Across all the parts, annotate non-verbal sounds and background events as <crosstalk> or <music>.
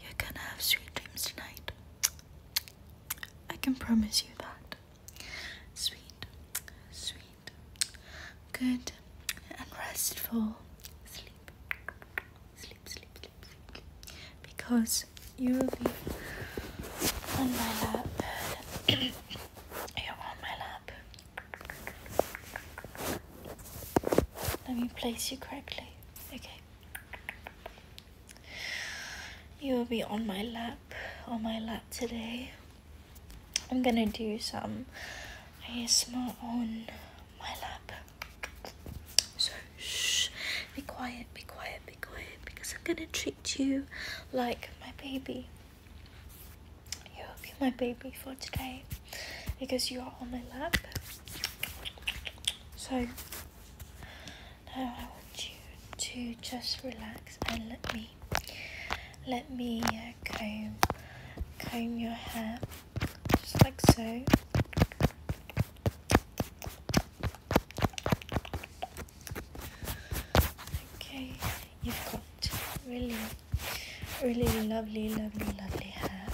You're gonna have sweet dreams tonight. I can promise you that. Sweet, sweet, good, and restful sleep. Sleep, sleep, sleep, sleep. Because you will be on my lap. <coughs> You're on my lap. Let me place you correctly. Okay. You will be on my lap, on my lap today. I'm gonna do some ASMR on my lap. So, shh, be quiet, be quiet, be quiet, because I'm gonna treat you like my baby. You will be my baby for today, because you are on my lap. So now I want you to just relax and let me let me uh, comb comb your hair just like so. Okay, you've got really really lovely lovely lovely hair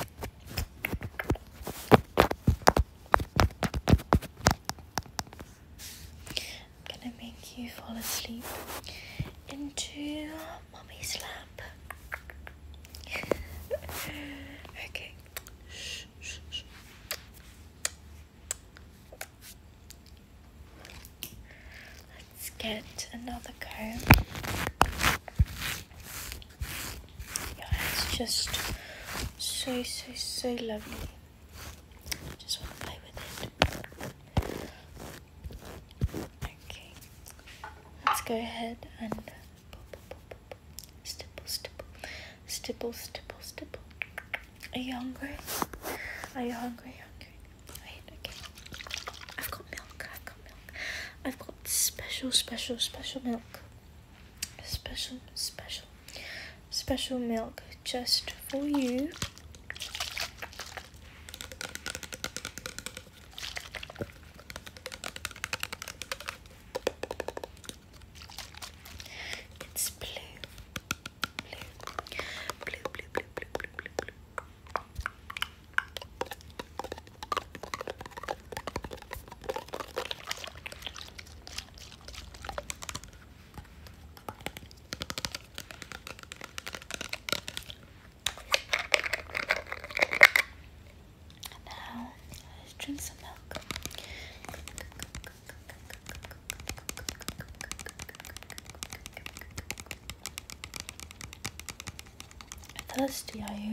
gonna make you fall asleep into mommy's lap. <laughs> okay. Let's get another comb. Yeah, it's just so, so, so lovely. Just want to play with it. Okay, let's go ahead and stipple, stipple, stipple, stipple, stipple. Are you hungry? Are you hungry? Hungry? Wait, okay. I've got milk. I've got milk. I've got special, special, special milk special, special, special milk just for you. It's blue, blue, blue, blue, blue, blue, blue, blue. And now let drink some milk. Thirsty, are you?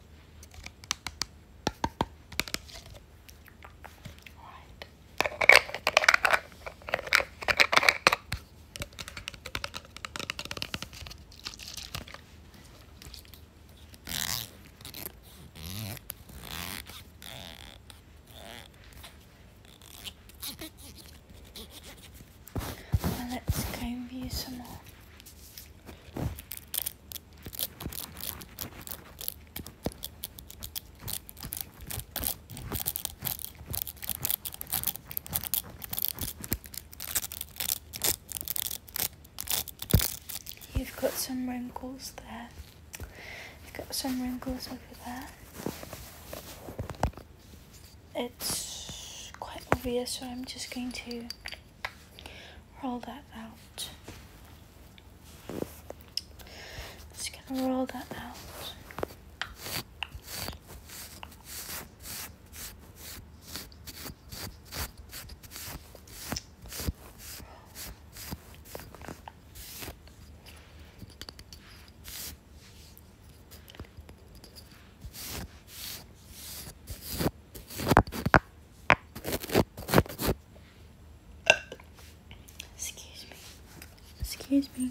let's go and view some more. You've got some wrinkles there. You've got some wrinkles over there. It's quite obvious, so I'm just going to roll that out. Just gonna roll that out. Excuse me. Excuse me.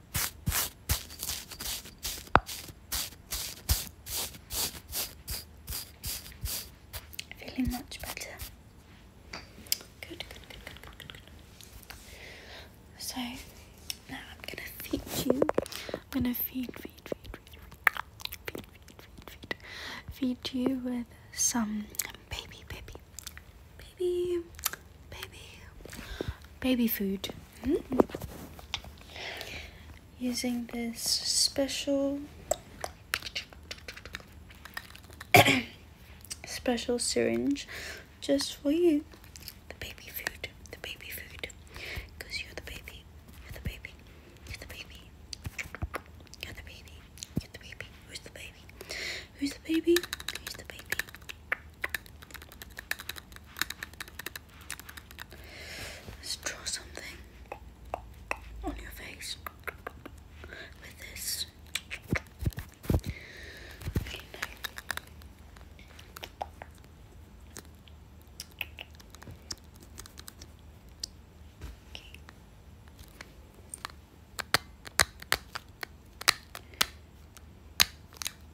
Feeling much better. Good, good, good, good, good, good, good. So now I'm gonna feed you. I'm gonna feed, feed, feed, feed, feed, feed, feed, feed, feed, feed you with some baby, baby, baby, baby, baby food. Hmm? Using this special, <coughs> special syringe just for you. The baby food, the baby food. Because you're the baby, you're the baby, you're the baby, you're the baby, you're the baby, who's the baby? Who's the baby? Who's the baby? Let's draw something on your face with this.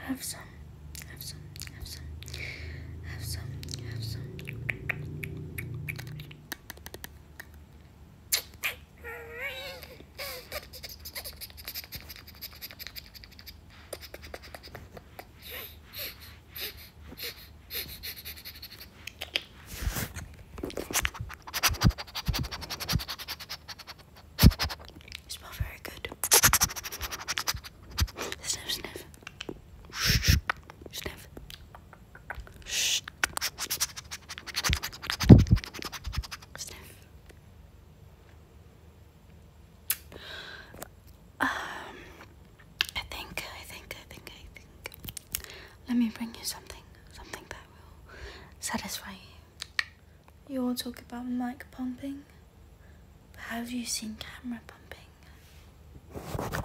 Have some, have some, have some, have some, have some smell very good. Sniff, sniff. Sniff. Sniff. Um, I think, I think, I think, I think. Let me bring you something, something that will satisfy you. You all talk about mic pumping, but have you seen camera pumping?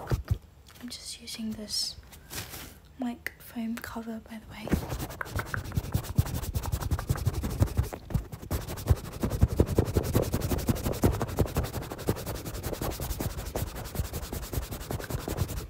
I'm just using this mic foam cover, by the way.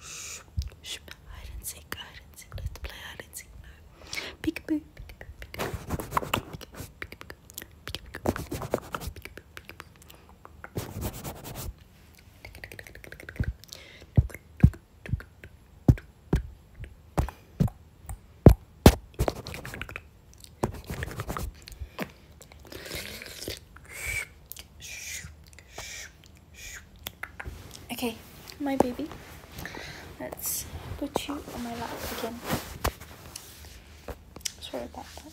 Shh, shh, hide and seek, hide and seek. Let's play hide and seek now. Peekaboo, peekaboo, peekaboo, peekaboo, peekaboo, peekaboo, peekaboo. Okay, my baby. Let's put you on my lap again. Sorry about that.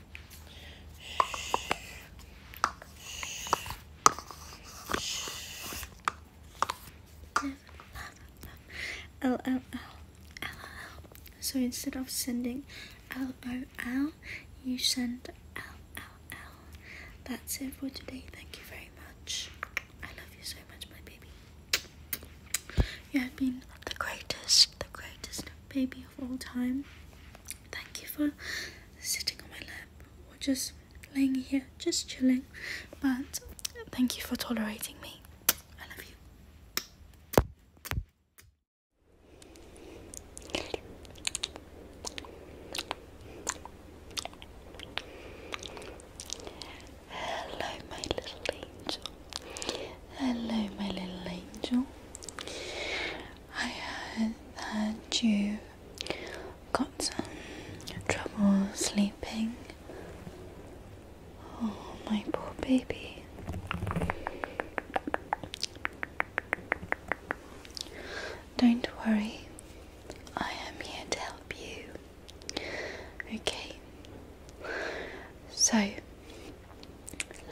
LOL, LOL, So instead of sending LOL, you send LOL. That's it for today. Thank you very much. I love you so much, my baby. You have been the greatest, the greatest baby the whole time. Thank you for sitting on my lap or just laying here, just chilling. But thank you for tolerating me. I love you. Hello, my little angel. Hello, my little angel. I heard that you got some trouble sleeping. Oh, my poor baby. Don't worry, I am here to help you. Okay, so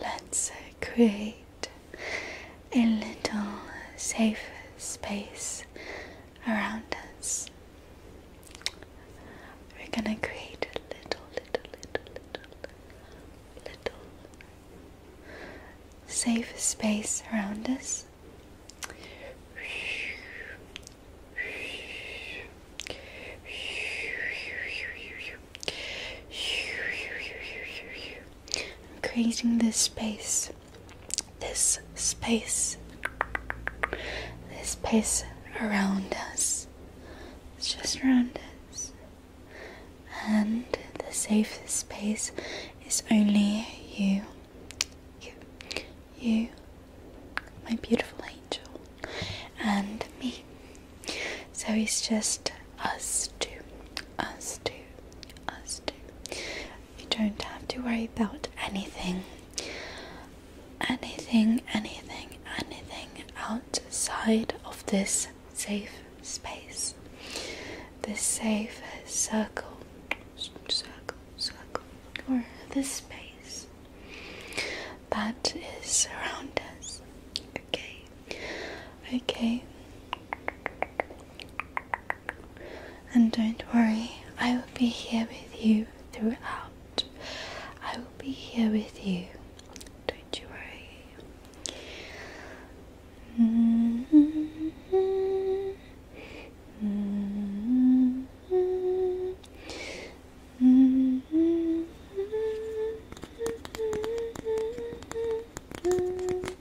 let's. Uh, create a little safe space around us. We're gonna create a little, little, little, little, little safe space around us. I'm creating this space. This space. This space around us. It's just around us. And the safe space is only you. You. You. My beautiful angel. And me. So it's just us too, us too, us too. You don't have to worry about anything, anything, anything, anything outside of this safe space, this safe circle, circle, circle, or this space that is around us. Okay, Okay. And don't worry, I will be here with you throughout. I will be here with you. Don't you worry. Mm-hmm. Mm-hmm.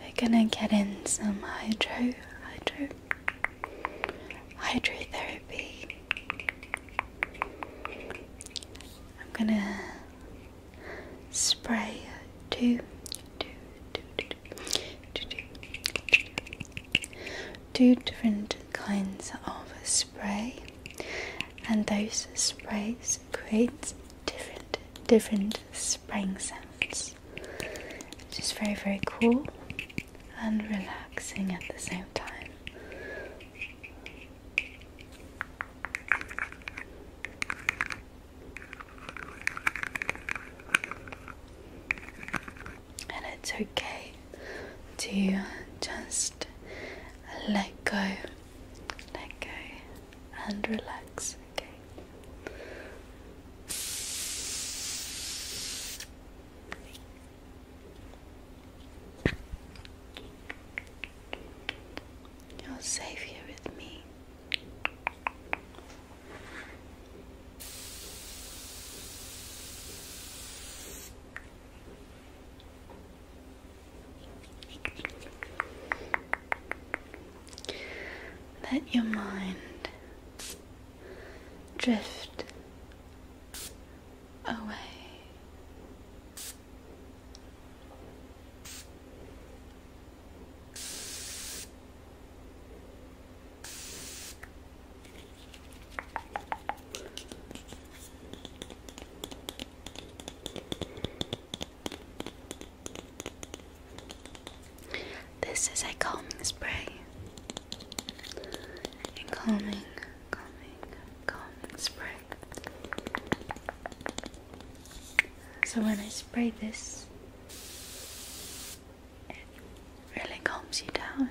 We're gonna get in some hydro, hydro, hydrotherapy. I'm gonna spray two, two, two, two, two, two, two different kinds of spray, and those sprays create different different Spraying sounds, which is very, very cool and relaxing at the same time. And it's okay to just let go, let go, and relax Okay. You're safe here with me. Let your mind drift away. This is a calming spray. A calming, calming, calming spray. So when I spray this, it really calms you down.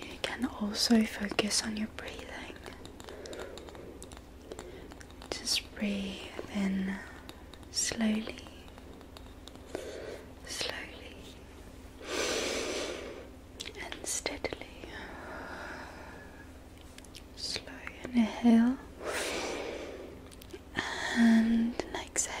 You can also focus on your breathing. Just breathe in slowly, slowly, and steadily. Slow inhale and exhale.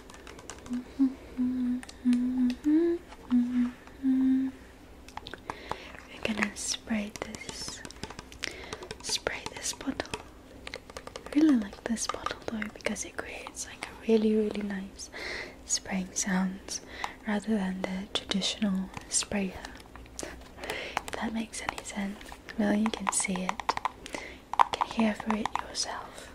We're gonna spray this, spray this bottle. I really like this bottle though because it creates like a really really nice spraying sounds rather than the traditional sprayer. if that makes any sense. Well, you can see it, you can hear for it yourself.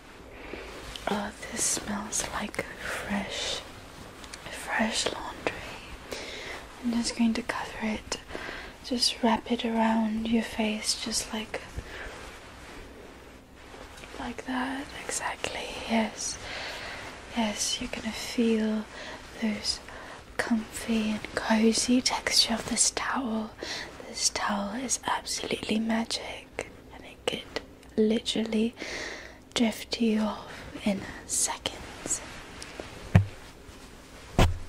Oh, this smells like fresh, fresh laundry. I'm just going to cover it. Just wrap it around your face, just like, like that. Exactly. Yes. Yes, you're gonna feel those comfy and cozy texture of this towel. This towel is absolutely magic, and it could literally drift you off in seconds. <laughs>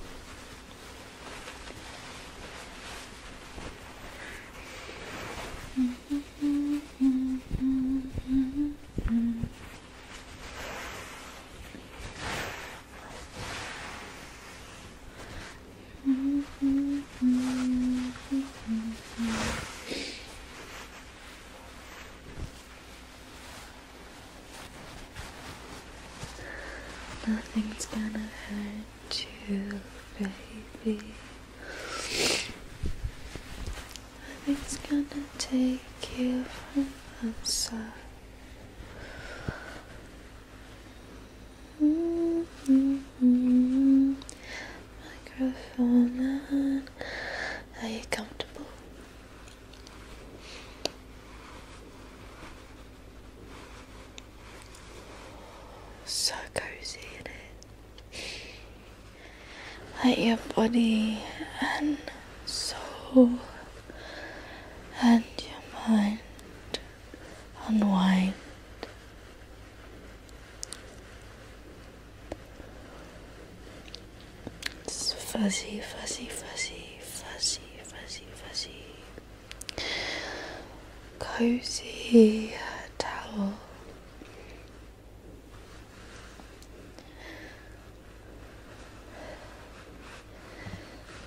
Nothing's gonna hurt you, baby. Nothing's gonna take you from us. Mm -hmm microphone Are you comfortable? So cozy in it. Like your body and soul and your mind unwind it's fuzzy, fuzzy, fuzzy, fuzzy, fuzzy, fuzzy. Cozy towel.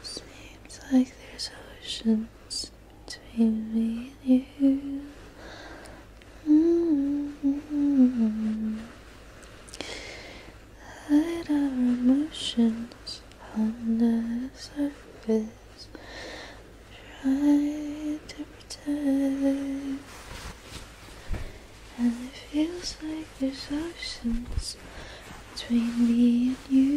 Seems like there's oceans between me and you mm mm-hmm. Hide our emotions under the surface. Try to pretend, and it feels like there's oceans between me and you.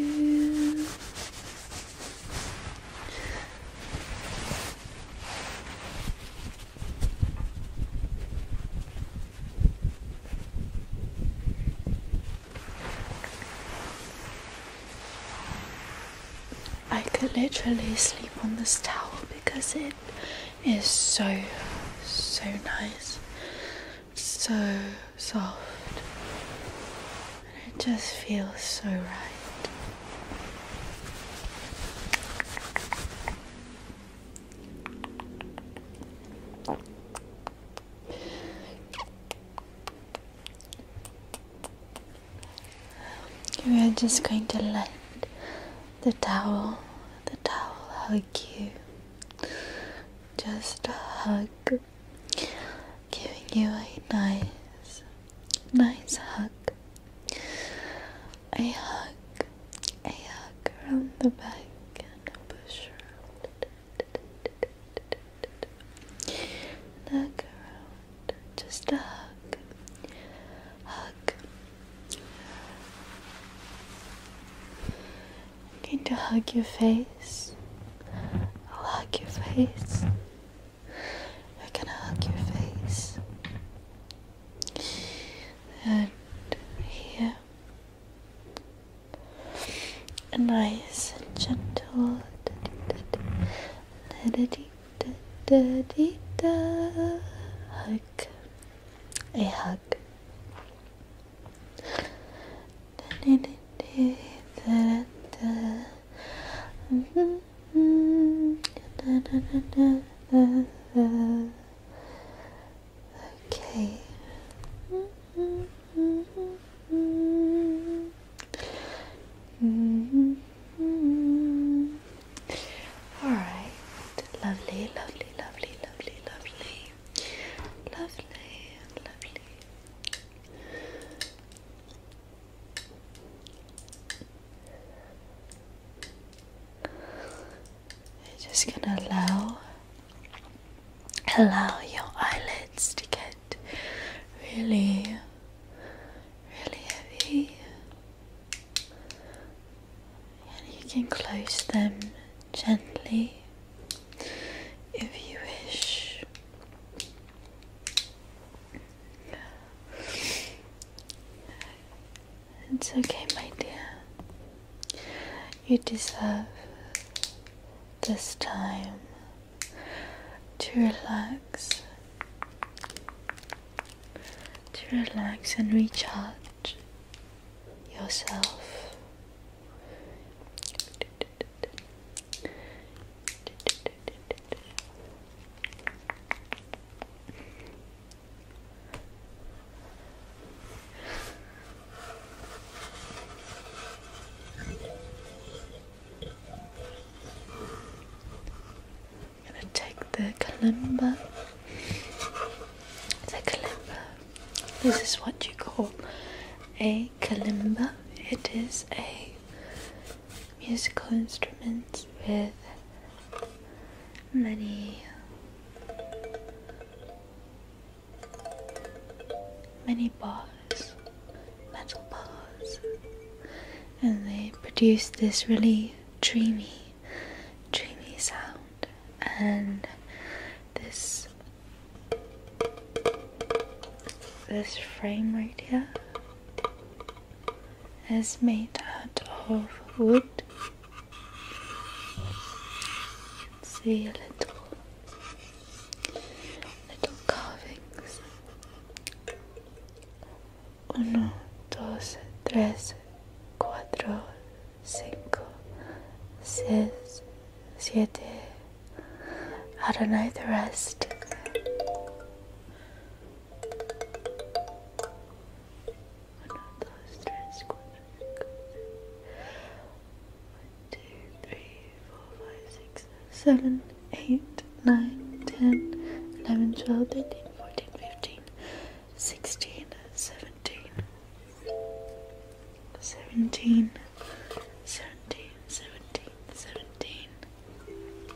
I could literally sleep on this towel because it is so, so nice, so soft, and it just feels so right. We are just going to let the towel, the towel hug you. Just a hug, giving you a nice nice hug. A hug, a hug around the back and a push around. hug around, just a hug, hug. I'm going to hug your face. hug your face. I am gonna hug your face. And here, a nice and gentle hug. A hug. da da. Mm-hmm. Okay. Mm-hmm. Mm-hmm. Mm-hmm. All right. Lovely, lovely, lovely, lovely, lovely, lovely, lovely. You're just gonna allow allow your eyelids to get really really heavy and you can close them gently if you wish. It's okay, my dear. You deserve this time to relax, to relax and recharge yourself. I'm gonna take the kalimba. The kalimba. This is what you call a kalimba. It is a musical instrument with many many bars, metal bars, and they produce this really dreamy, dreamy sound, and this this frame right here is made out of wood. see little little carvings. Uno, I don't know the rest one of those stress quadrants. One, two, three, four, five, six, seven, eight, nine, ten, eleven, twelve, thirteen, fourteen, fifteen, sixteen, seventeen, seventeen, seventeen, seventeen, seventeen. 18, 19, 20, 21, 22, 23, 24, 25, 26, 27, 28, 29, 30, 31,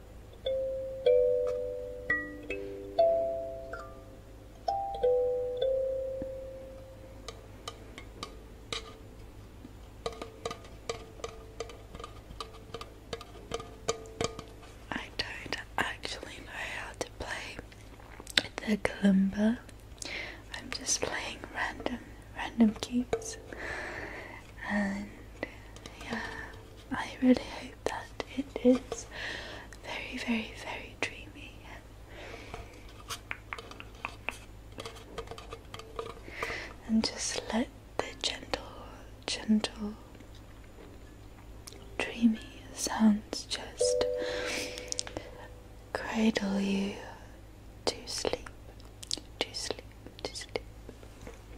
I don't actually know how to play the kalimba. I'm just playing random, random keys, and yeah, I really hope that it is very, very, very dreamy. And just let the gentle, gentle, dreamy sounds just cradle you to sleep, to sleep, to sleep.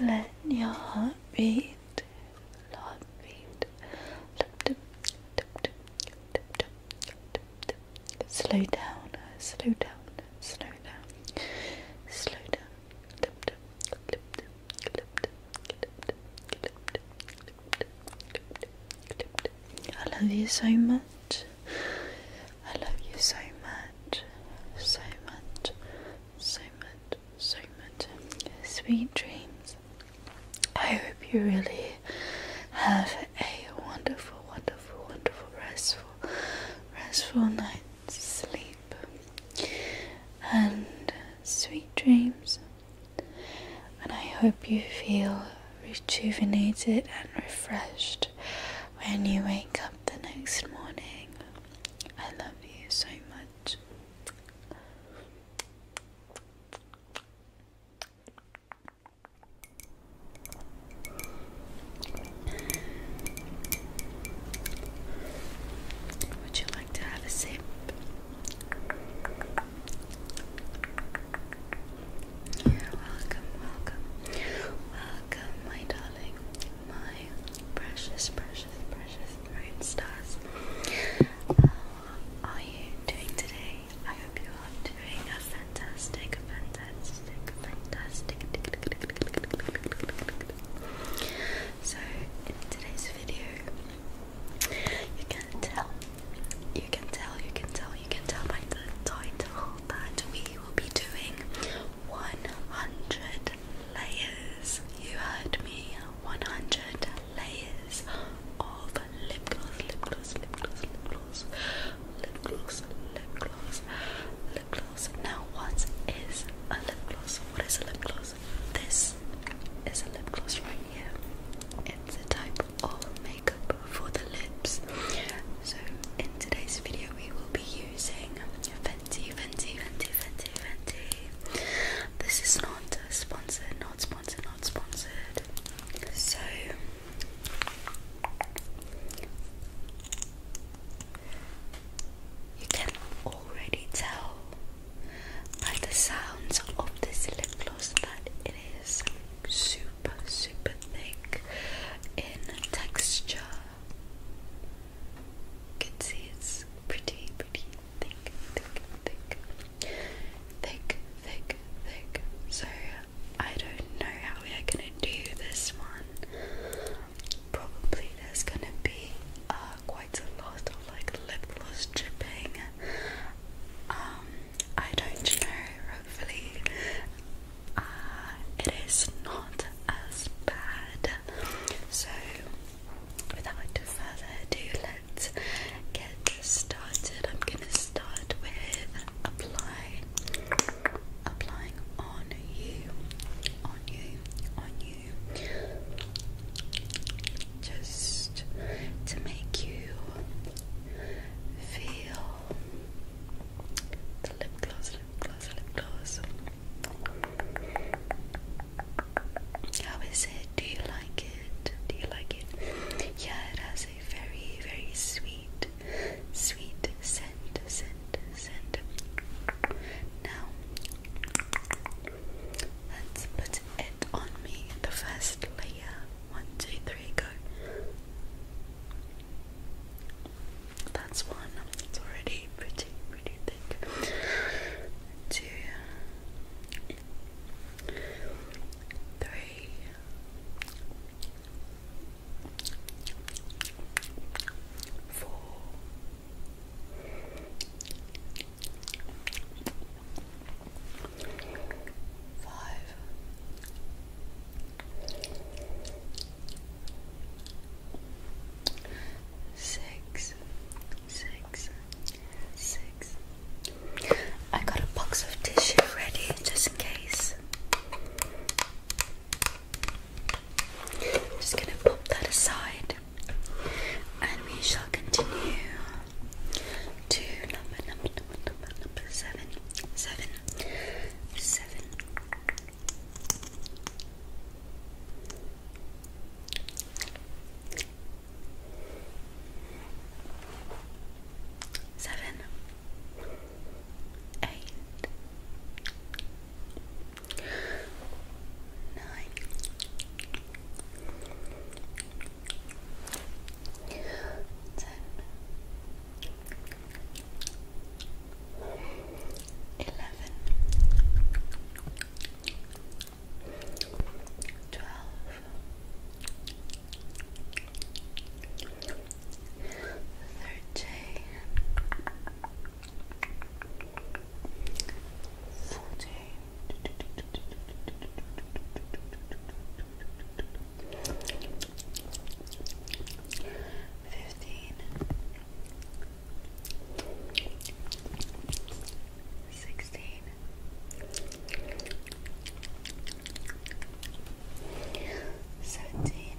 Let your heartbeat, heartbeat, slow down, slow down, slow down, slow down, I love you so much. I love you so much. So much. So much. So much. Sweet dreams. I hope you really have a wonderful, wonderful, wonderful, restful, restful night sleep and sweet dreams. And I hope you feel rejuvenated and refreshed when you wake up the next morning. I love you so much. Would you like to have a sip? You're welcome, welcome, welcome, my darling, my precious, precious, precious moon stars. How are you doing today? I hope you are doing a fantastic, fantastic, fantastic. So in today's video, you can tell, you can tell, you can tell, you can tell by the title that we will be doing 100 layers. You heard me, 100 layers of lip gloss, lip gloss, lip gloss, lip gloss, lip gloss, lip gloss, lip gloss, now, what is a lip gloss? What is a lip gloss? This is a lip gloss right here. It's a type of makeup for the lips. So, in today's video, we will be using Fenty, Fenty, Fenty, Fenty, Fenty. This is not sponsored, not sponsored, not sponsored. So. You can already tell by the sounds of this lip gloss that it is super, super thick in texture. can see it's pretty, pretty thick, thick, thick, thick, thick, thick. So I don't know how we are gonna do this one probably there's gonna be uh, quite a lot of like lip dripping. Um, I don't know, hopefully, uh, it is not as bad. So, without further ado, let's get started. I'm gonna start with apply, applying on you, on you, on you just to make you feel the lip gloss, lip gloss, lip gloss. How is it? Do you like it? Do you like it? Yeah, it has a very, very sweet, sweet scent, scent, scent. Now, Let's put it on me, the first layer. One, two, three, go. That's one. It's already pretty, pretty thick. Two, Five. Six, six, six. I got a box of tissue ready just in case. just gonna pop that aside. And we shall continue to number, number, number, number, number seven, seven, seven nine, ten, eleven, twelve, thirteen. 14 15 16 17 Fifteen, sixteen, seventeen,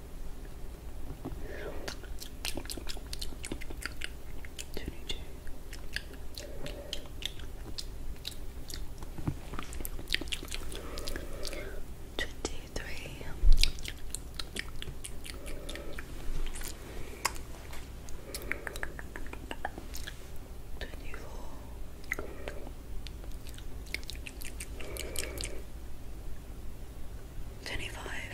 22. Twenty-three, twenty-four, twenty-five,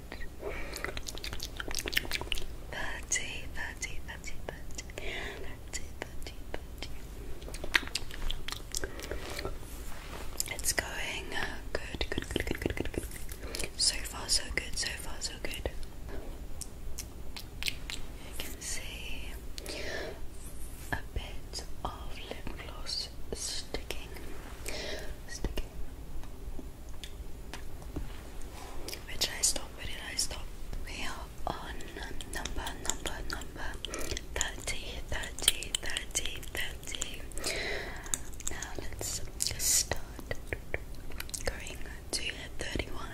30, It's going uh, good, good, good, good, good, good, good. So far, so good, so far, so good. You can see a bit of lip gloss sticking, sticking. Where I stop? Where did I stop? We are on number, number, number 30, Now let's start going to 31,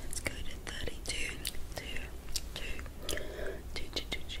Let's go to 32,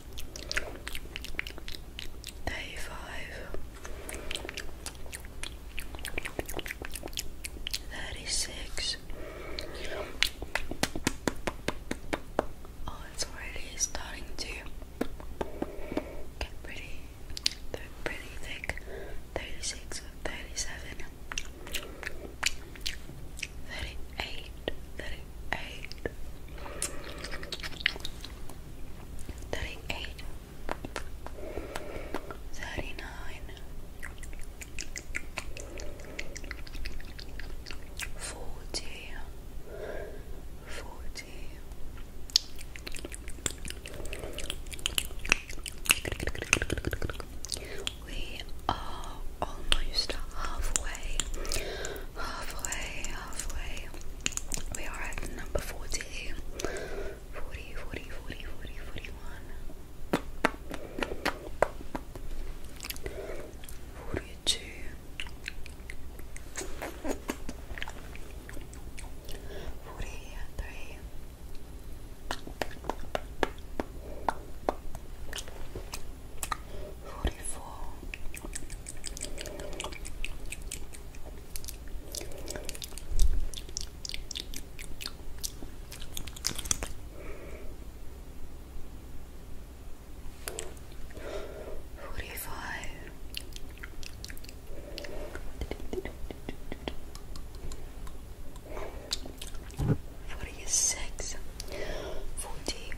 Day five, thirty-six. Oh, it's already starting to get pretty, pretty thick. Thirty-six, thirty-seven thirty-eight, thirty-eight, thirty-eight, thirty-nine, forty, forty. We are almost halfway halfway, halfway. We are at number 40. 40, 42. Forty-three, 44 45 46 40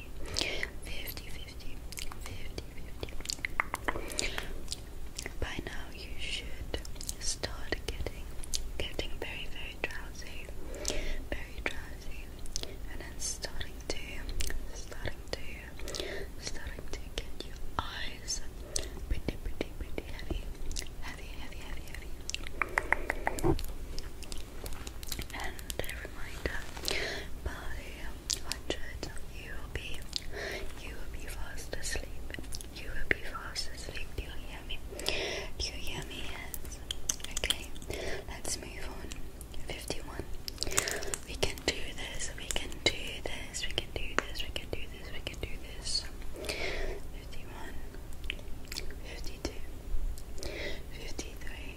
50 50 50 50 by now you should start getting getting very very drowsy very drowsy and then starting to starting to starting to get your eyes pretty pretty pretty heavy heavy heavy heavy heavy and a reminder by hundred. You will be, you will be fast asleep. You will be fast asleep. Do you hear me? Do you hear me? Yes. Okay. Let's move on. Fifty-one. We can do this. We can do this. We can do this. We can do this. We can do this. Fifty-one. Fifty-two. Fifty-three.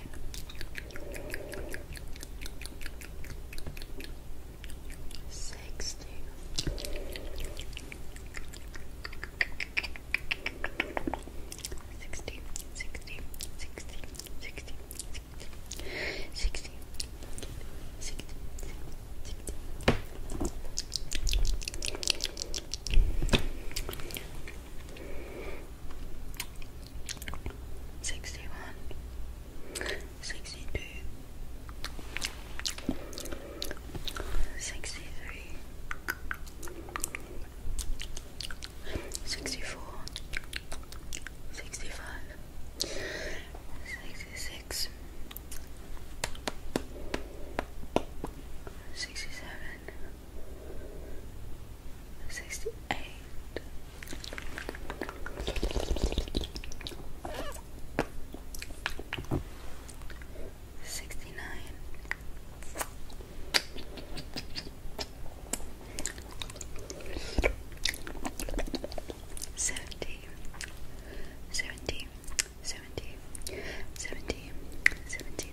five, sixty. Sixty, sixty, sixty, sixty, sixty, sixty, sixty, sixty. 61 62 63 64 65 66 67 sixty eight. Sixty nine, Sixty-nine. Seventy. Seventy. Seventy. Seventy.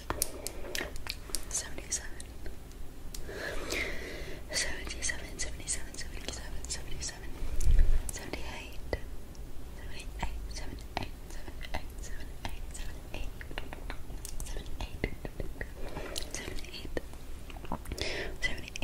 77 77, 77, 77, 77 78 78, 78, 78, 79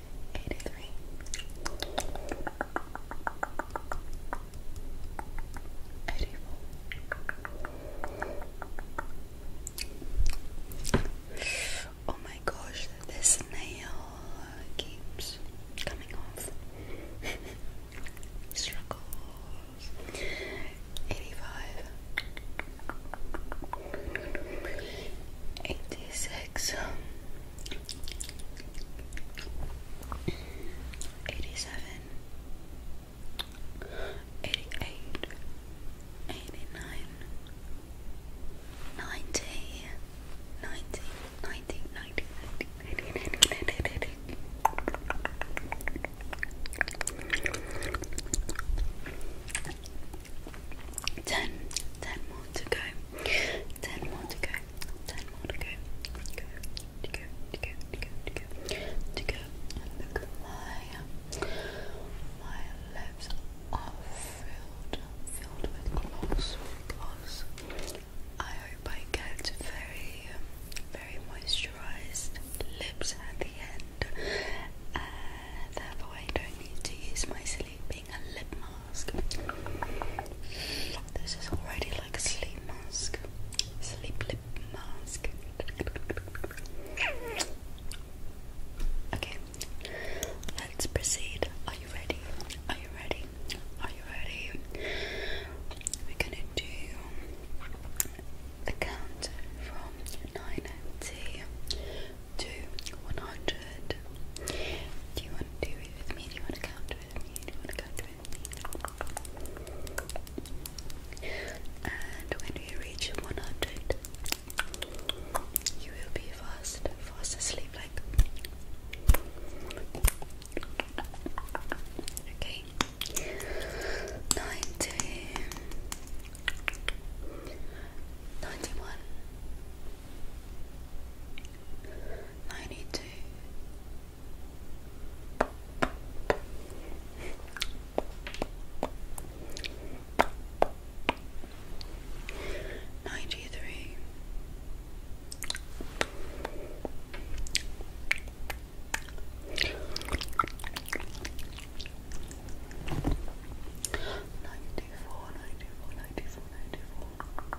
83 Oh my gosh, this nail keeps coming off. <laughs> Struggles. 85 87 more to go Ten more to go. Ten more to go. Go, to go, to go, to go, to go, to go. my lips are filled, filled with gloss, gloss. I hope I get very, very moisturized lips at the end. Uh, therefore, I don't need to use my sleeping lip mask. This is already like a sleep mask, sleep lip mask. Okay, let's proceed. Are you ready? Are you ready? Are you ready? We're gonna do the count from 9 to 100. Do you want to do it with me? Do you want to count with me? Do you want to count with me? And when you reach 100, you will be fast, fast asleep, like. Okay. Ninety. Ninety-one ninety two. Ninety three, ninety four, ninety four, ninety four, ninety four,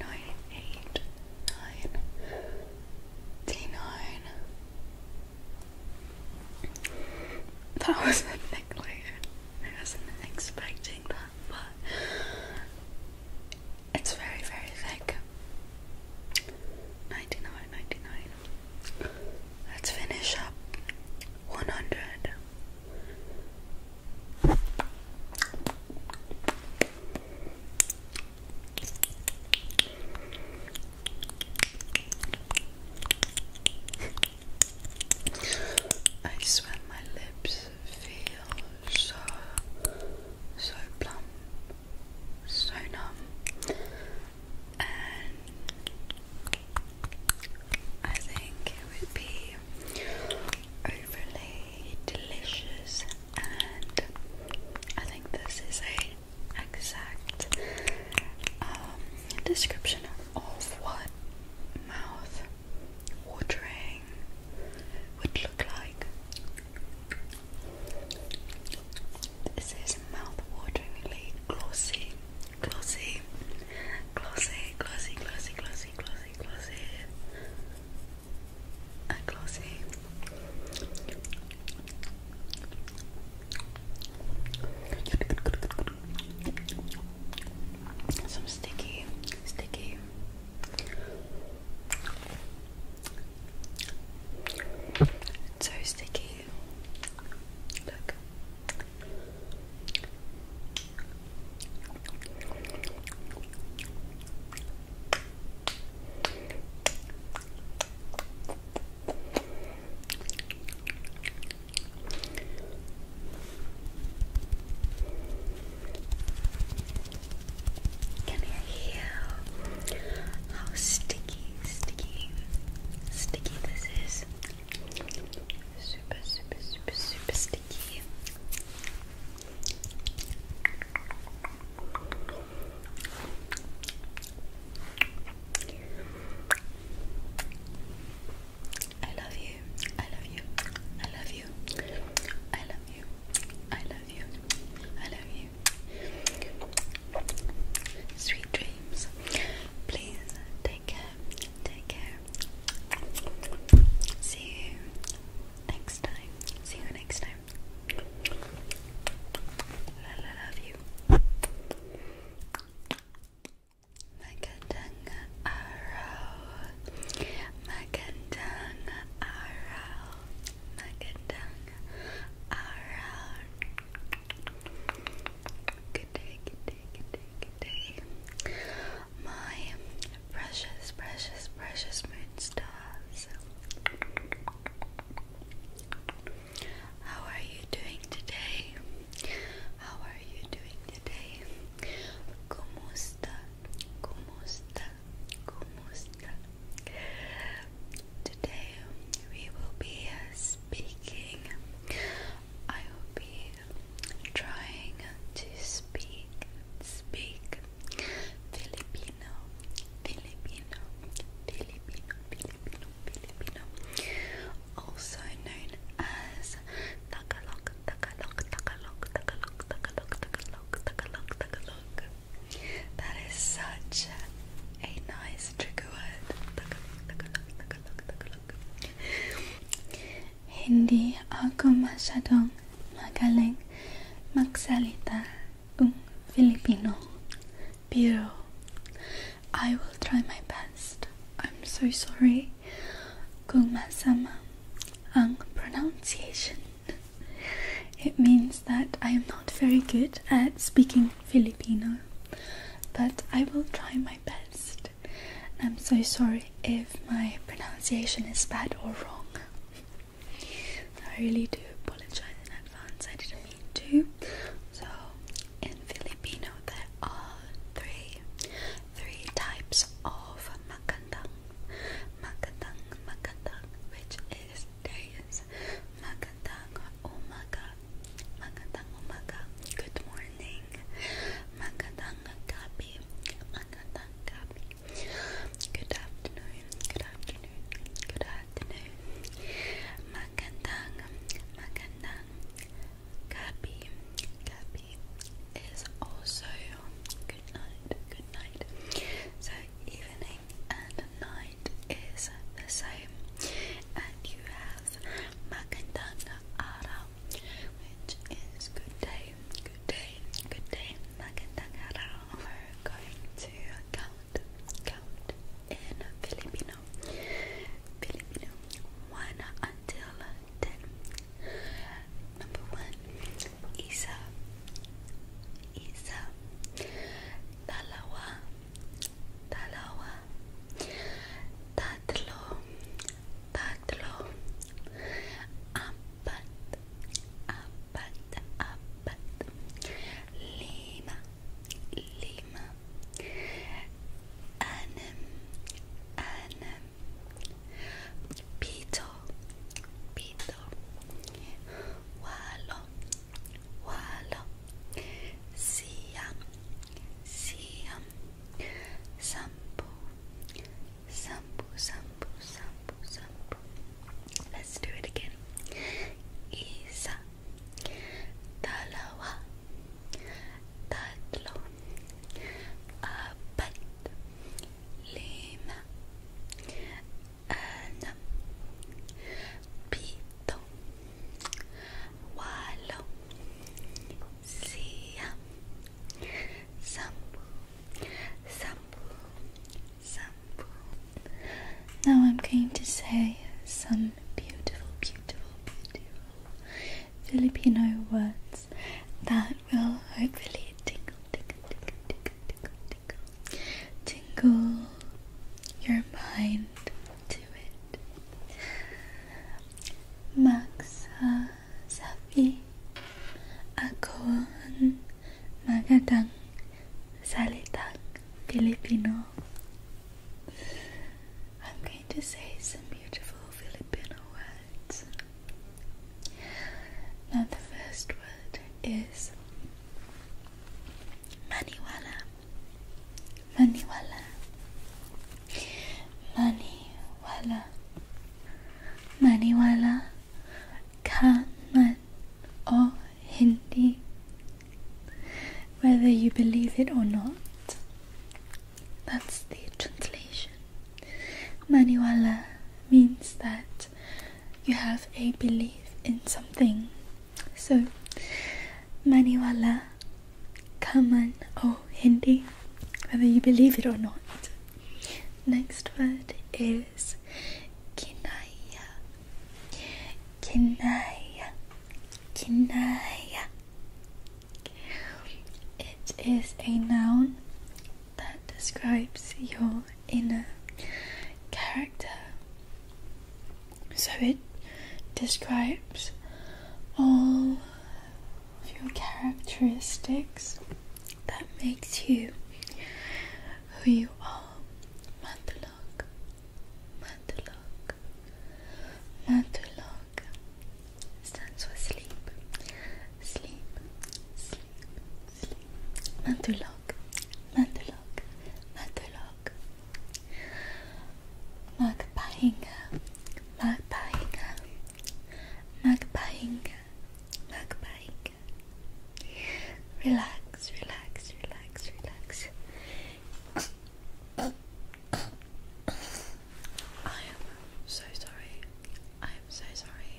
nine, eight, nine, D That was a necklace. I wasn't <laughs> expecting that, but it's very, very thick. 99, Let's finish up 100. I swear my lips feel so so plump, so numb I think it would be overly delicious, and I think this is a exact um, description of what mouth watering would look like. This is mouth glossy, glossy, glossy, glossy, glossy, glossy, glossy closing, closing, and closing. Some sticky, sticky. so sticky. Look. Come here, you. How sticky, sticky, sticky this is. Super, super, super, super sticky такие I love you, I love you, I love you, I love you, I love you, I love you. Sweet dreams. Please take Take care. See you next time. See you next time. I love you. Magandang araw. Magandang araw. Magandang araw. Good day, good day, good day. My precious, precious, precious moon How are you doing today? How are you doing today? Como está? Como está? Como está? Today we will be speaking. I will be trying to speak, speak Filipino, Filipino, Filipino, Filipino, Filipino, also known as Tagalog, Tagalog, Tagalog, Tagalog, Tagalog, Tagalog, Tagalog, Tagalog. That is such a nice trigger word. Tagalog, Tagalog, Tagalog, Tagalog. Hindi ako masadong magaling magsalita ng Filipino. Pero, I will try my best. I'm so sorry kung masama ang pronunciation. It means that I am not very good at speaking Filipino, but I will try my best right. I'm so sorry if my pronunciation is bad or wrong. I really do apologize in advance, I didn't mean to. So, in Filipino, there are three, three types of magandang. Magandang, magandang, which is days. Magandang umaga, magandang umaga, good morning. Magandang gabi, magandang Good afternoon, good afternoon, good afternoon. Magandang, magandang. Gabi, Gabi is also good night, good night. So evening and night is the same, and you have magandang araw, which is good day, good day, good day. We're going to count, count in Filipino, Filipino, one until ten. Number one, isa, isa, dalawa, dalawa, tatlo, tatlo apat apat apat lima lima anim anim pito pito walo walo siyam siyam sampu Sampu, sampu, sampu, sampu. Let's do it again. Isa, dalawa, tatlo, apat, lima, anam, pito, walo, siya, Sambu, Sambu, Sambu. Now I'm going to say some beautiful, beautiful, beautiful Filipino words that will hopefully tingle, tingle, tingle, tingle, tingle, tingle, tingle your mind to it. Maxa, sabi ako ang salitang Filipino. I'm going to say some beautiful Filipino words. Now the first word is maniwala. Maniwala. Maniwala maniwala kaman man o hindi whether you believe it or not that's the translation maniwala means that you have a belief in something so maniwala kaman man o hindi whether you believe it or not Next word is kinaya. Kinaya. Kinaya. It is a noun that describes your inner character. So it describes all of your characteristics that makes you who you are. Matulog, Matulog, Matulog stands for sleep, sleep, sleep, sleep. Matulog, Matulog, Matulog. Magpahinga, magpahinga, magpahinga mukbang. Relax, relax, relax, relax. I am so sorry. I am so sorry.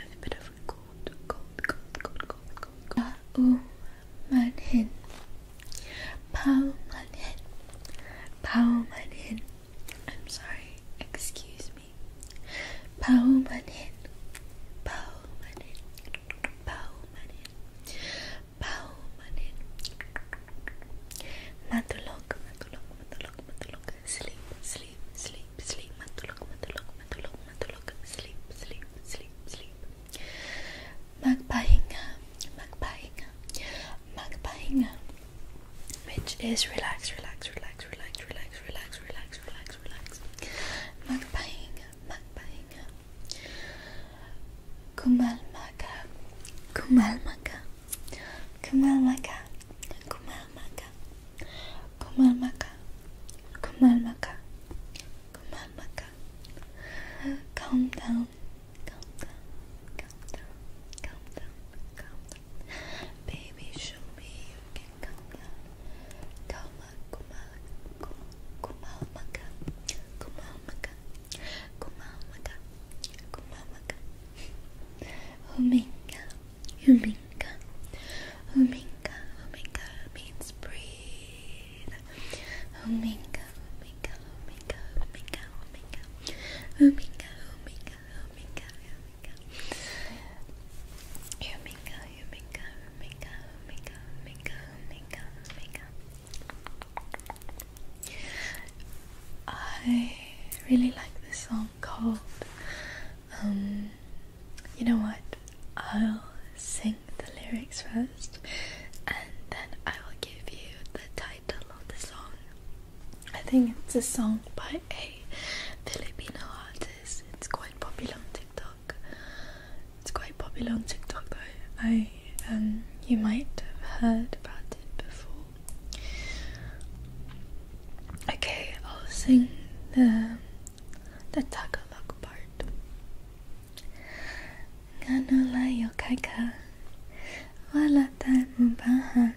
a bit of cold, cold, cold, cold, cold, cold, cold. man hin. Pao man hin. Pao man hin. I'm sorry, excuse me. Paumanin, paumanin, paumanin, paumanin. Matulog, matulog, matulog, matulog. Sleep, sleep, sleep, sleep. Matulog, matulog, matulog, matulog. Sleep, sleep, sleep, sleep. Magpahinga, magpahinga, magpahinga which is relax, relax, relax, relax, relax, relax, relax, relax, relax. Magpahing, magpahing. Kumalmaga, kumalmaga, kumalmaga, kumalmaga, kumalmaga, kumalmaga, kumalmaga. Calm down, calm down, calm down, calm down, calm down. Baby, show me you can come down. Kuma, kuma, kuma, kuma, maka, kuma, maka, kuma, maka, kuma, maka. Huminga, huminga, huminga, huminga means breathe. Huminga, huminga, huminga, huminga, huminga, huminga, huminga, huminga. Huminga, Huminga, huminga, huminga, huminga, huminga, huminga, huminga, I really like this song called um, you know what I'll sing the lyrics first and then I will give you the title of the song. I think it's a song by a Filipino artist it's quite popular on TikTok. It's quite popular on TikTok though. I um you might have heard about it before. Okay, I'll sing the the Tagalog part. Ngano layo kay ka? Wala tayong bahan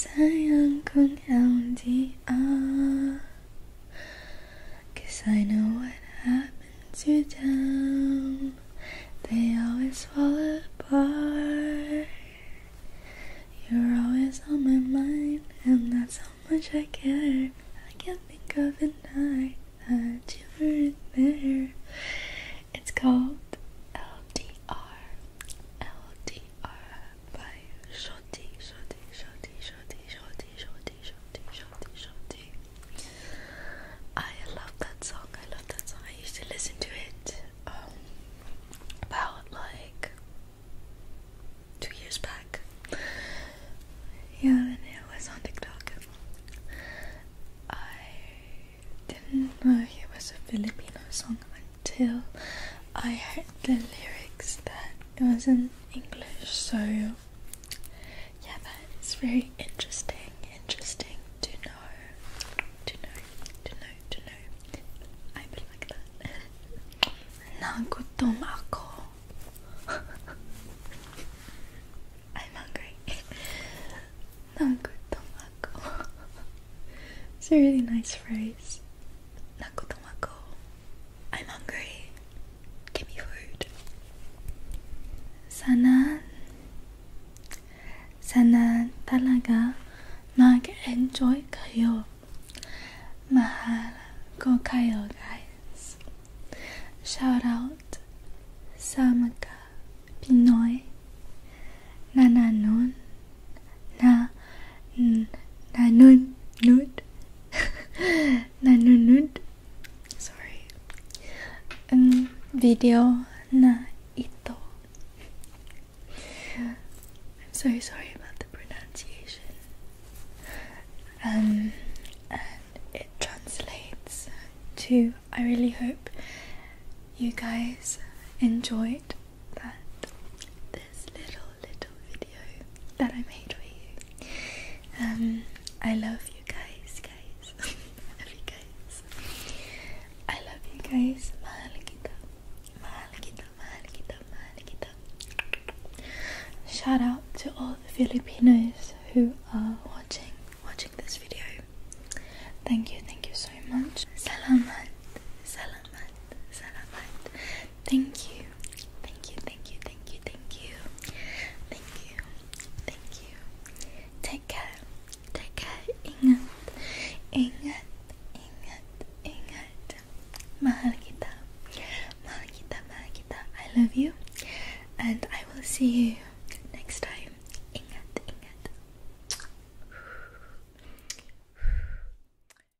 sayang kung hindi ah Cause I know what happened to them They always fall apart You're always on my mind And that's how much I care I can't think of a night that you weren't there It's called LDR LDR by Shorty, Shorty, Shorty, Shorty, Shorty, Shorty, Shorty, Shorty, Shorty. I love that song. I love that song. I used to listen to it um, about like two years back. Yeah, and it was on TikTok. I didn't know it was a Filipino song till I heard the lyrics that it was in English. So, yeah, that is very interesting. Interesting to know, to know, to know, to know. I been like that. <laughs> Nagutom ako. <laughs> I'm hungry. <laughs> Nagutom ako. It's a really nice phrase. Nakoto Mako, I'm hungry. Give me food. Sana, sana talaga mag-enjoy kayo. Mahal ko kayo, guys. Shout out sa mga Pinoy nananon na na nun nude <laughs> na nun nude sorry um, video na ito I'm so sorry about the pronunciation um it translates to I really hope you guys enjoyed that this little little video that I made for you. Um, I love you guys, guys. <laughs> I love you guys. I love you guys. Mahal kita, mahal kita, Shout out to all the Filipinos who are watching watching this video. Thank you, thank you so much. Salamat, salamat, salamat. Thank you. Thank you, thank you, thank you, thank you. Thank you. Thank you. Take care. Take care. Ingat. Ingat. Ingat. Ingat. Mahal kita. Mahal kita, mahal kita. I love you. And I will see you next time. Ingat. Ingat.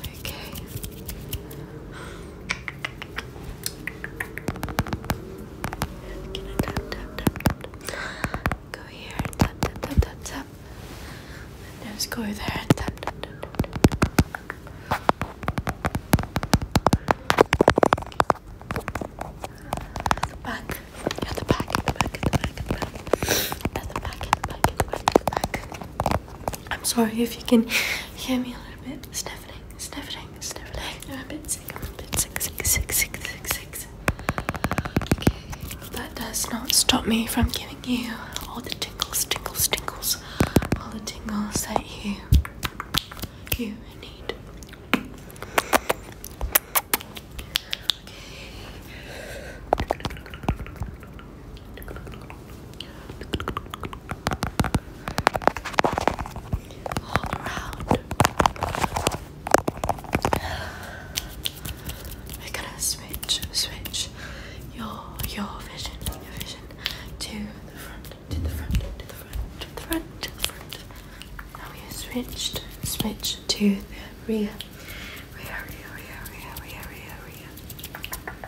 Okay. Go here, tap tap tap tap tap. And just go there, tap tap tap tap. the back, the back, the back, the back, the back, the back, the back, the back. I'm sorry if you can hear me a little bit sniffing, sniffing, sniffing. I'm a bit sick, I'm a bit sick, sick, sick, sick, sick, sick. Okay, that does not stop me from giving you all the tingles, tingles, tingles, all the tingles that you you need. Okay all around. We're gonna switch, switch your your vision, your vision to the front, to the front, to the front, to the front, to the front. Now we are switched, switch to the rear. Rear, rear, rear, rear, rear, rear, rear.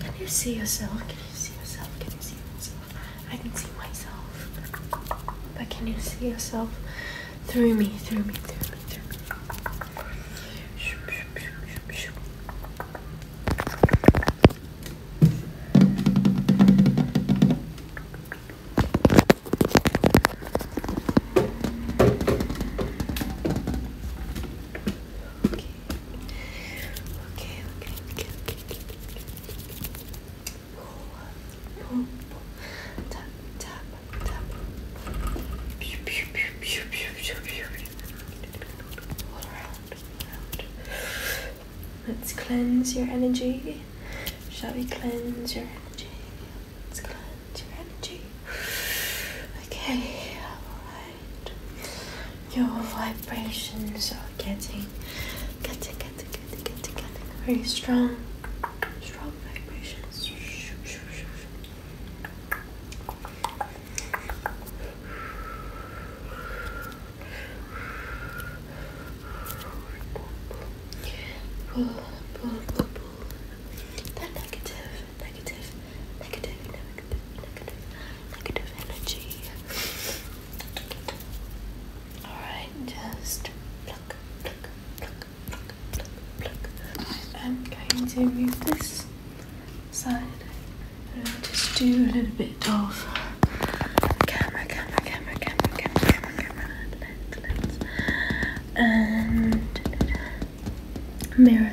Can you see yourself? Can you see yourself? Can you see yourself? I can see myself. But can you see yourself through me, through me, through me, through me? Shoop, shoop, shoop, shoop, shoop. Okay. Okay, okay, okay, okay, okay, okay. Tap, tap, tap. Pew, pew, pew, pew, pew, pew, pew. All around, all around. Let's cleanse your energy. Shall we cleanse your energy? Let's cleanse your energy. Okay, alright. Your vibrations are getting, getting, getting, getting, getting, getting very strong. Strong vibrations. That negative, negative, negative, negative, negative, negative energy. Alright, just pluck, pluck, pluck, pluck, pluck, pluck. I'm going to move this side and just do a little bit of camera, camera, camera, camera, camera, camera, lens, lens, and mirror,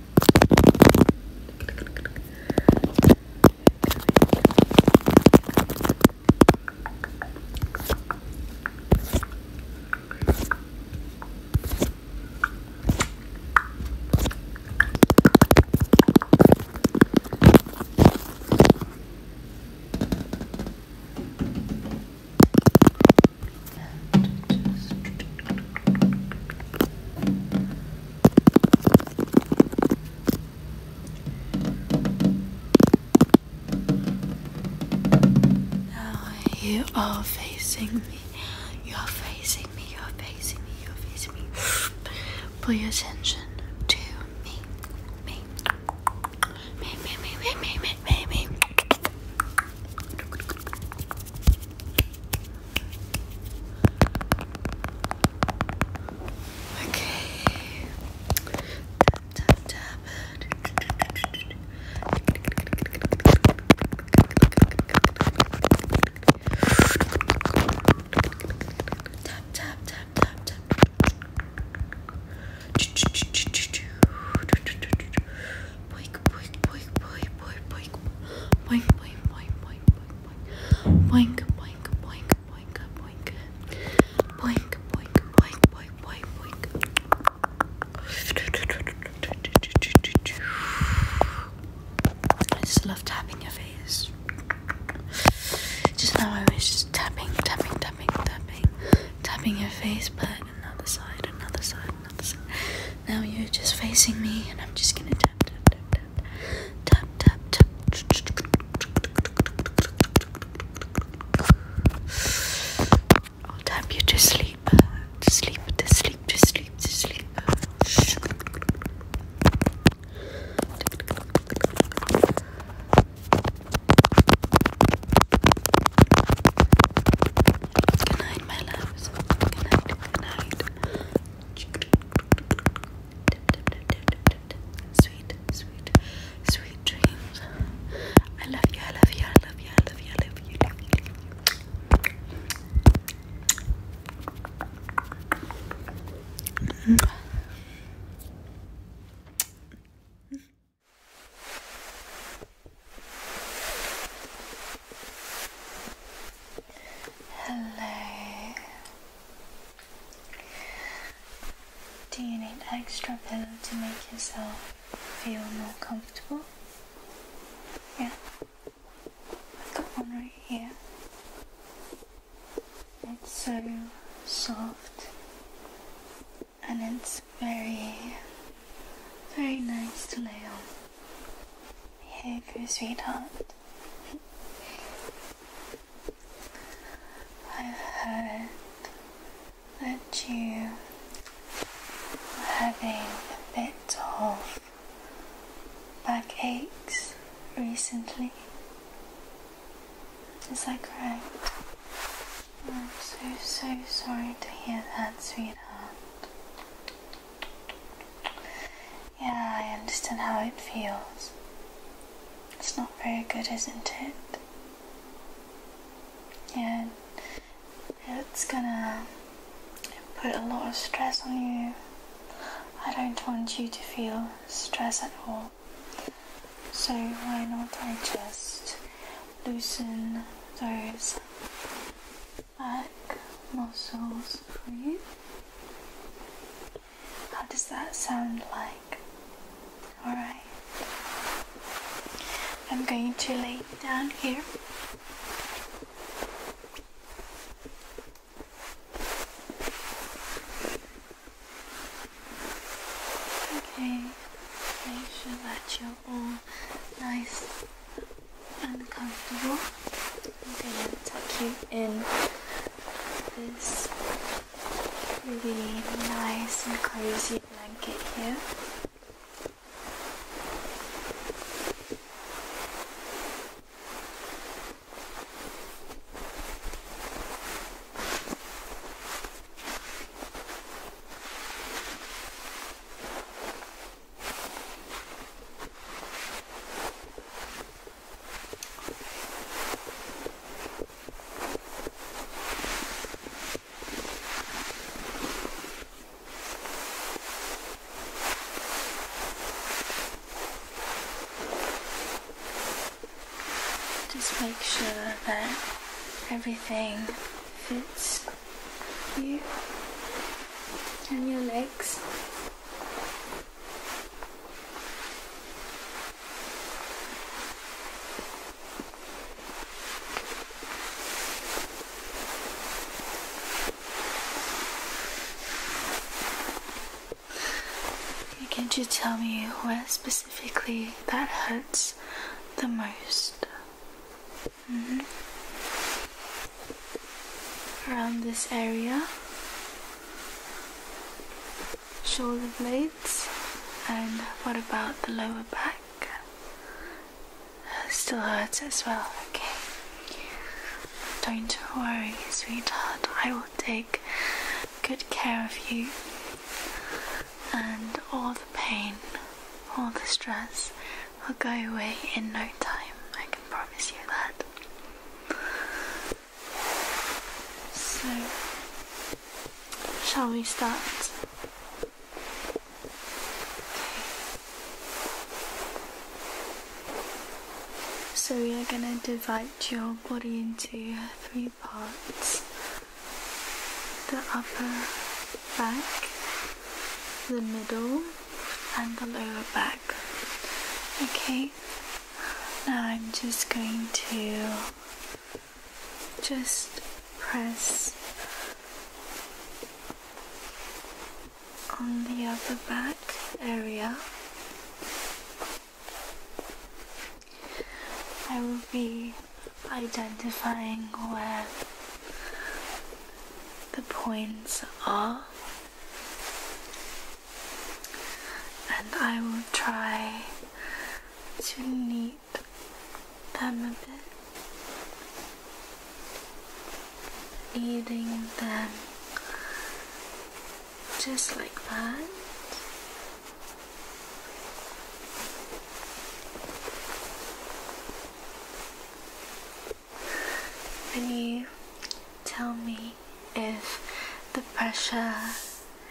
And just now you are facing me. You are facing me. You are facing me. You are facing me. Put <gasps> your attention to me. Me. Me, me, me, me, me, me, me, me. Okay. Tap, tap, tap. Tap, tap, tap, tap, tap. Boink, boink, boink, boink, boink, boink, boink, boink, boink, boink, boink boink, boink, boink, boink, boink, boink, boink, boink, boink, boink, boink. I just love tapping your face. Just now I was just tapping, tapping, tapping, tapping, tapping your face, but another side, another side, another side. Now you're just facing me, and I'm just gonna tap, tap, tap, tap tap tap tap I'll tap you to sleep uh, to sleep to sleep to sleep to sleep Good night, my loves. Good night, good night. Sweet, sweet, sweet dreams. I love you, I love you, I love you, I love you, I love you, mm-hmm. Hello. Do you need extra pillow to make yourself feel more comfortable? Yeah. I've got one right here. It's so soft and it's very very nice to lay on. Here you sweetheart. I've heard that you are having a bit of backaches recently. Is that correct? I'm so, so sorry to hear that, sweetheart. Yeah, I understand how it feels. It's not very good, isn't it? Yeah, it's gonna put a lot of stress on you. I don't want you to feel stress at all. So why not I just loosen those back muscles for you? How does that sound like? Alright. I'm going to lay down here. Okay, make sure that you're all nice and comfortable. I'm gonna tuck you in this really nice and cozy blanket here. Just make sure that everything fits you and your legs. Can't you tell me where specifically that hurts the most? Mm-hmm. Around this area? shoulder blades and what about the lower back? Still hurts as well, okay. Don't worry, sweetheart. I will take good care of you and all the pain, all the stress will go away in no time. I can promise you that. So, shall we start? So we are going to divide your body into three parts. The upper back, the middle and the lower back. Okay, now I'm just going to just press on the upper back area. I will be identifying where the points are and I will try to knead them a bit. Kneading them just like that. And you tell me if the pressure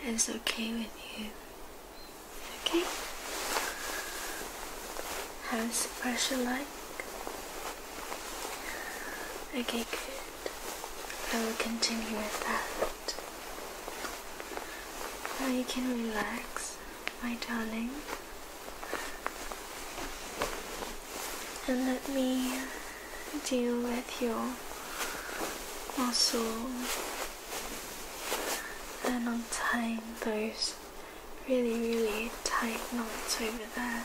is okay with you. Okay? How is the pressure like? Okay, good. I will continue with that. Now you can relax, my darling. And let me deal with your muscle and untie those really, really tight knots over there.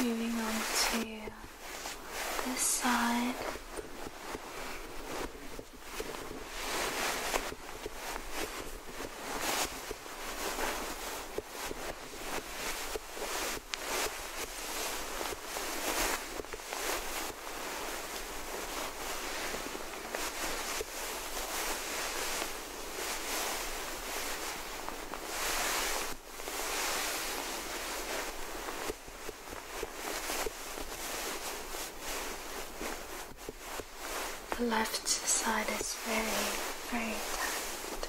Moving on to this side. The left side is very, very tight.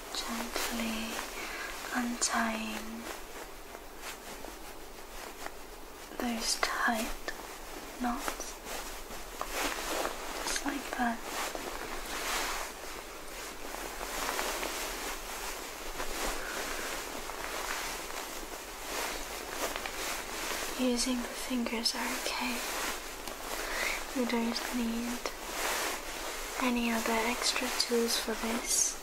gently untying those tight knots, just like that. Using the fingers are okay. You don't need any other extra tools for this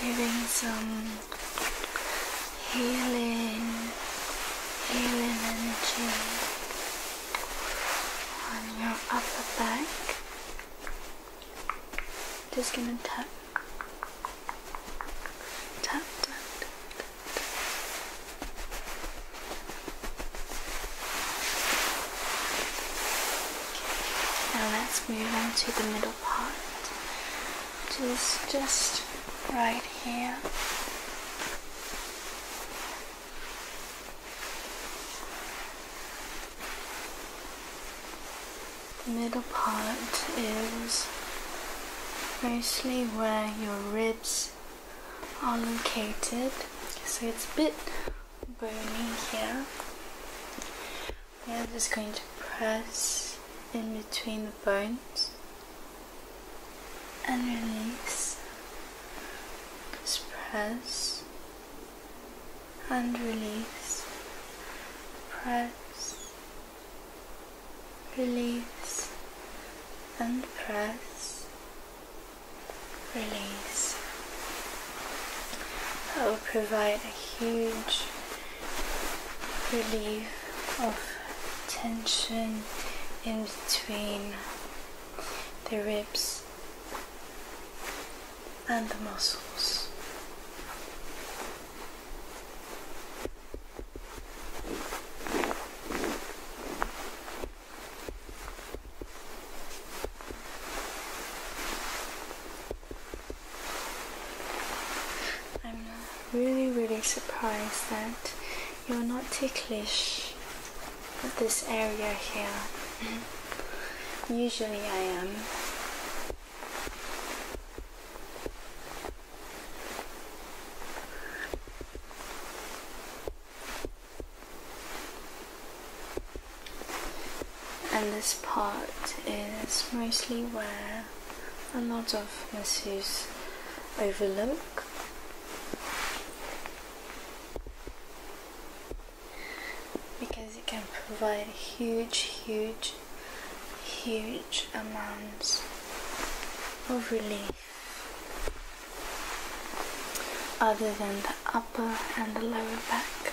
giving some healing, healing energy on your upper back. Just gonna tap, tap, tap. Now let's move on to the middle apart is just right here middle part is mostly where your ribs are located so it's a bit bony here I'm just going to press in between the bones and release. Just press and release. Press, release, and press, release. That will provide a huge relief of tension in between the ribs and the muscles. I'm really, really surprised that you're not ticklish at this area here. Mm-hmm. Usually I am and this part is mostly where a lot of masseuse overlook because it can provide huge huge huge amounts of relief other than the upper and the lower back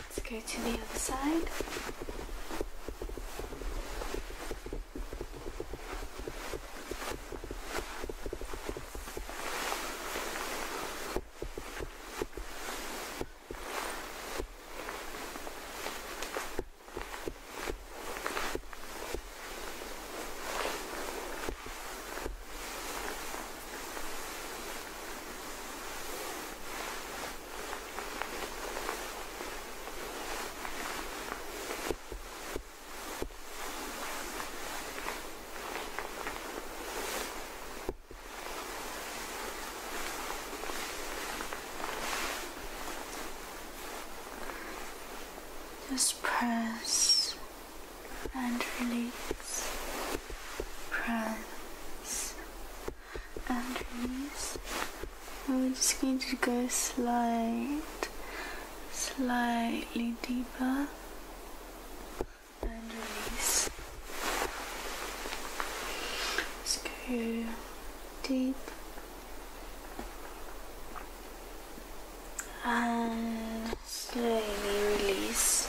Let's go to the other side. Just press and release, press and release. And we're just going to go slightly, slightly deeper and release. Let's go deep and slowly release.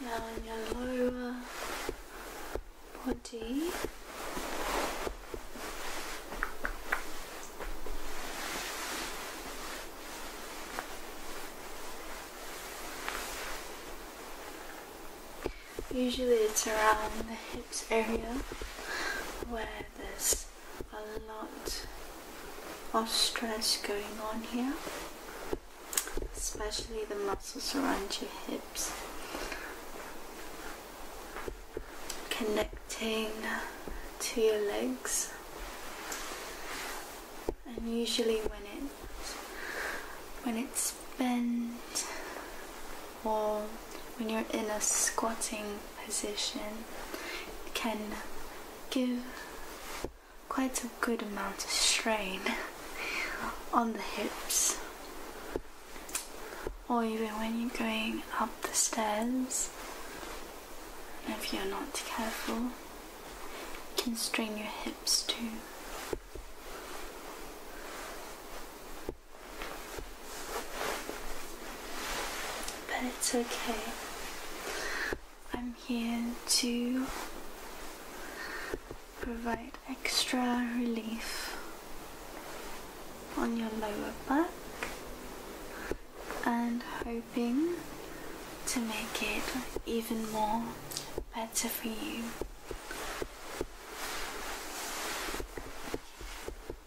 Now in your lower body. Usually it's around the hips area where there's a lot of stress going on here especially the muscles around your hips connecting to your legs and usually when it when it's bent or when you're in a squatting position can give quite a good amount of strain on the hips or even when you're going up the stairs if you're not careful can strain your hips too but it's okay. I'm here to provide extra relief on your lower back and hoping to make it even more better for you.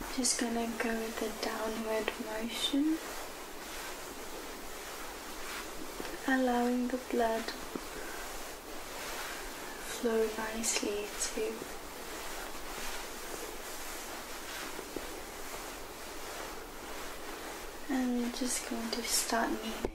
I'm just gonna go with the downward motion, allowing the blood flow nicely to and we're just going to start kneading.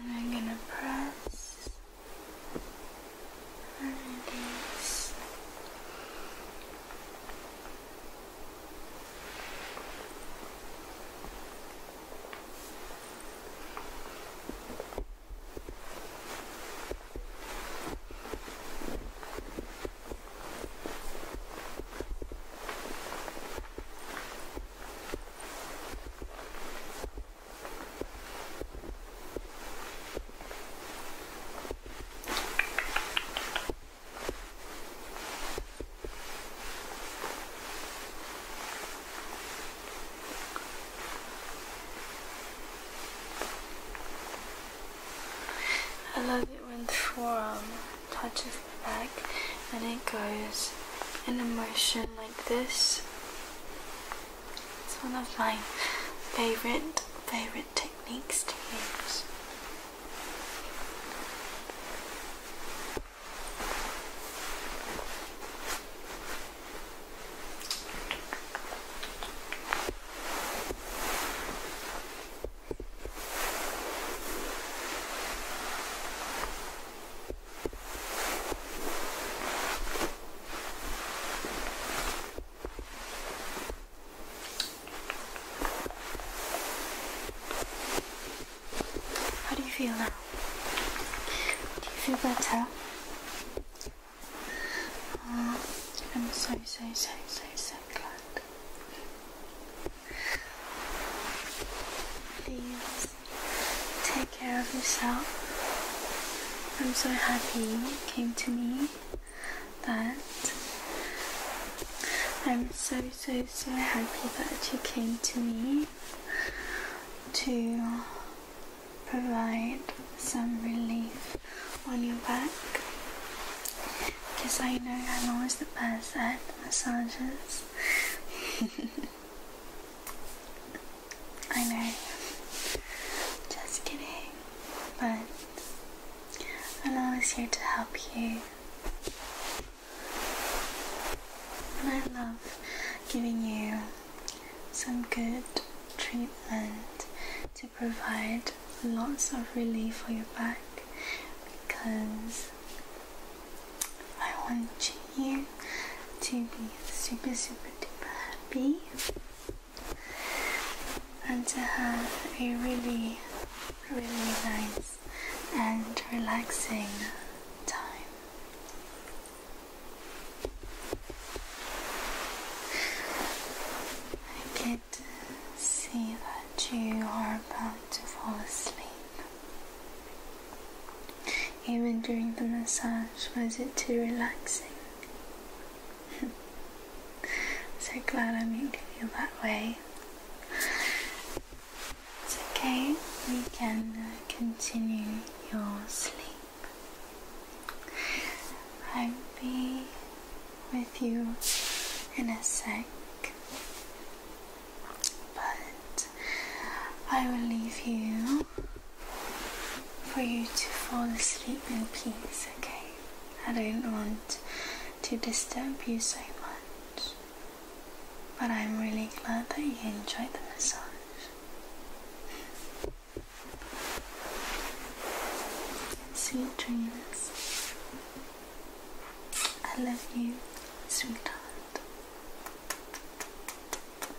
And I'm gonna press and release. I love it when the forearm touches the back and it goes a motion like this. It's one of my favorite, favorite techniques to use. How do you feel now? Do you feel better? Uh, I'm so, so, so, so, so glad. Please take care of yourself. I'm so happy you came to me, that I'm so, so, so happy that you came to me to provide some relief on your back because I know I'm always the best at massages. <laughs> I know. Just kidding. But I'm always here to help you. And I love giving you some good treatment to provide lots of relief for your back because I want you here to be super, super duper happy and to have a really, really nice and relaxing time. I could see that you are about to fall asleep. Even during the massage, was it too relaxing? <laughs> so glad I made you feel that way. It's okay, we can uh, continue your sleep. I'll be with you in a sec. But I will leave you for you to fall asleep in peace, okay? I don't want to disturb you so much, but I'm really glad that you enjoyed the massage. Sweet dreams. I love you, sweetheart.